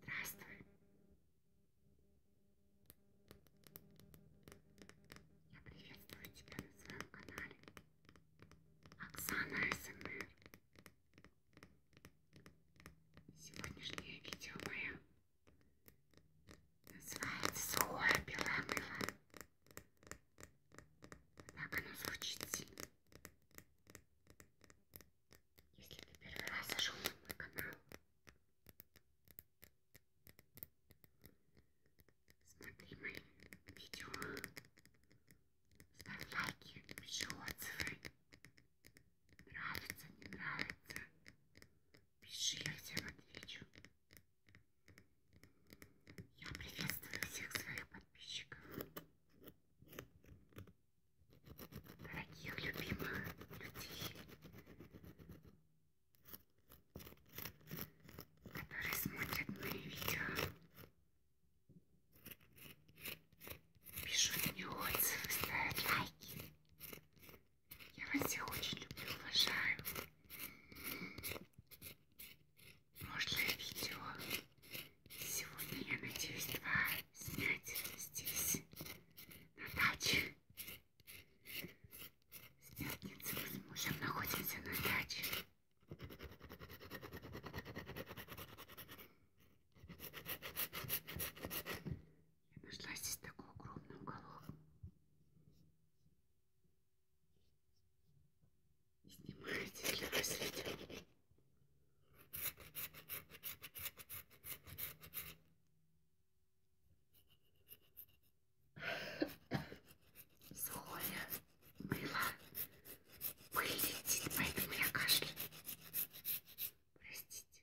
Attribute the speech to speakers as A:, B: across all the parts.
A: Здравствуй. Я приветствую тебя на своем канале. Оксана СМР. Сегодняшнее видео мое называется «Сухое белое мыло». Так оно звучит сильно. Если ты первый раз зашел на мой канал, смотри мои видео, ставь лайки, пиши отзывы, нравится, не нравится, пиши, я всем отвечу. Я приветствую всех своих подписчиков дорогих, любимых людей, которые смотрят мои видео, пишут мне отзывы, ставят лайки. Я вас всех очень люблю, уважаю. Прошлое видео Сегодня я надеюсь два снять здесь, на даче. С пятницы мы с мужем находимся на даче. Я нашла здесь такой огромный уголок. И снимаю здесь для вас видео. Соня была вылетит, поэтому я кашляю. Простите.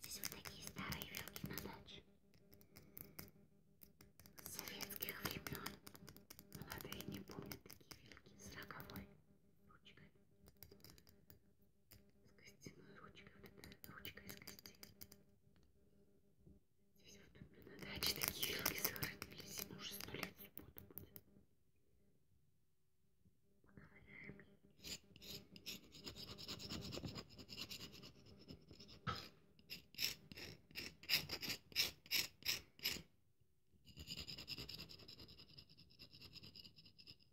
A: Здесь вот такие старые вилки на даче. С советских времен. Молодые не помнят такие вилки с роговой ручкой с костяной ручкой, вот эта ручка из костей. Здесь вот у меня на даче такие вилки сохранились, ему уже сто лет в субботу будет. Поковыряем. Ой,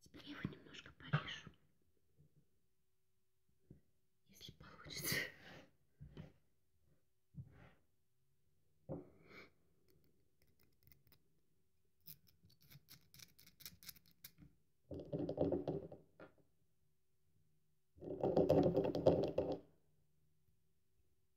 A: Теперь я его немножко порежу. Если получится.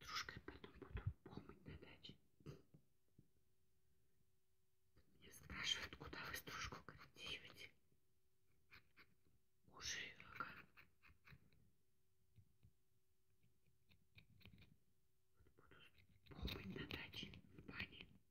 A: С дружкой потом буду помыть на даче. Меня спрашивают, куда вы стружку крадете? Уже рога. Вот буду помыть на даче в бане.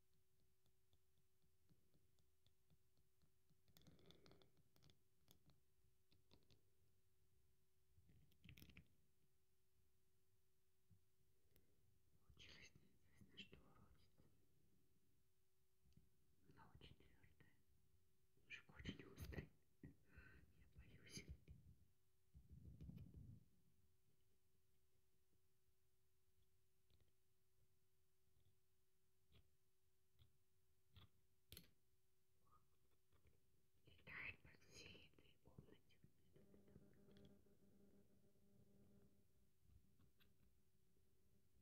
A: Получилось неизвестно, что уродится. Она очень твердая. Мужик очень острый. Я боюсь. Летает по всей этой комнате.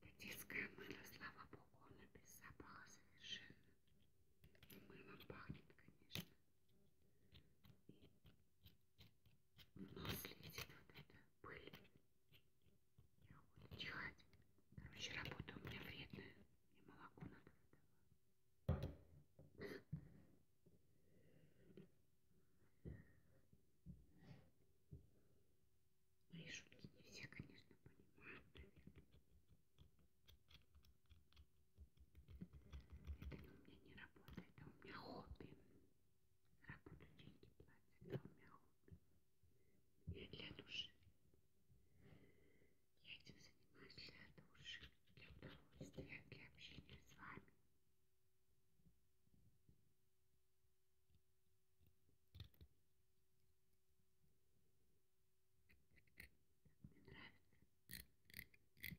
A: Да детское мыло, слава богу, оно без запаха совершенно. Мылом пахнет, конечно. И в нос летит вот эта пыль. Я чихать. Короче, работа у меня вредная. И молоко надо выдавать. Мои шутки не все, конечно, понимают, наверное. Это у меня не работа, это а у меня хобби работу деньги платят, а у меня хобби. Я для души. Я этим занимаюсь для души, для удовольствия, для общения с вами. Так мне нравится.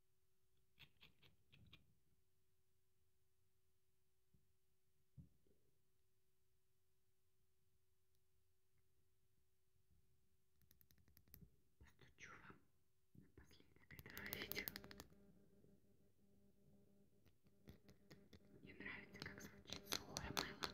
A: Постучу вам напоследок этого видео. Мне нравится, как звучит сухое мыло.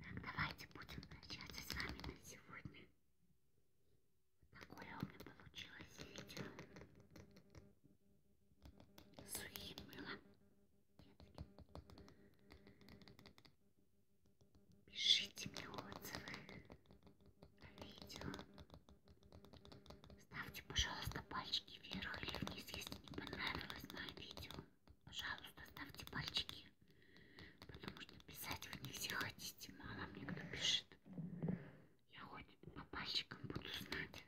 A: Так, давайте будем прощаться с вами на сегодня. Такое у меня получилось видео. Сухим мылом. Пишите мне отзывы о видео. Ставьте, пожалуйста, пальчики вверх или вниз, если не понравилось мое видео. Пожалуйста, ставьте пальчики, потому что писать вы не все хотите, мало мне кто пишет. Я хоть по пальчикам буду знать,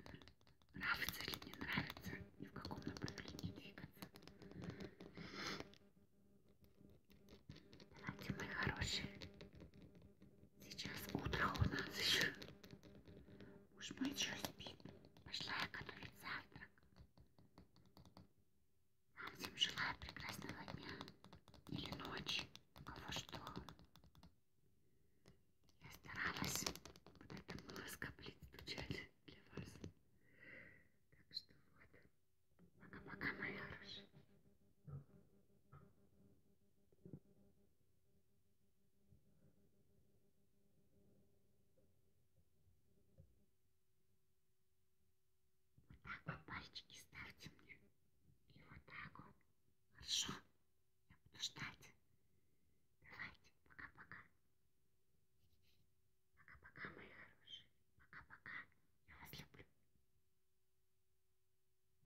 A: нравится или не нравится, и в каком направлении двигаться. Давайте, мои хорошие, Сейчас утро у нас еще. Муж мой еще спит. Пошла я готовить завтрак. Вам всем желаю прекрасного дня. Или ночи. У кого что. Я старалась вот это было скоплить стучать для вас. Так что вот. Пока-пока, мои хорошие. Вот так вот пальчики ставьте мне. И вот так вот. Хорошо. Я буду ждать. Давайте. Пока-пока. Пока-пока, мои хорошие. Пока-пока. Я вас люблю.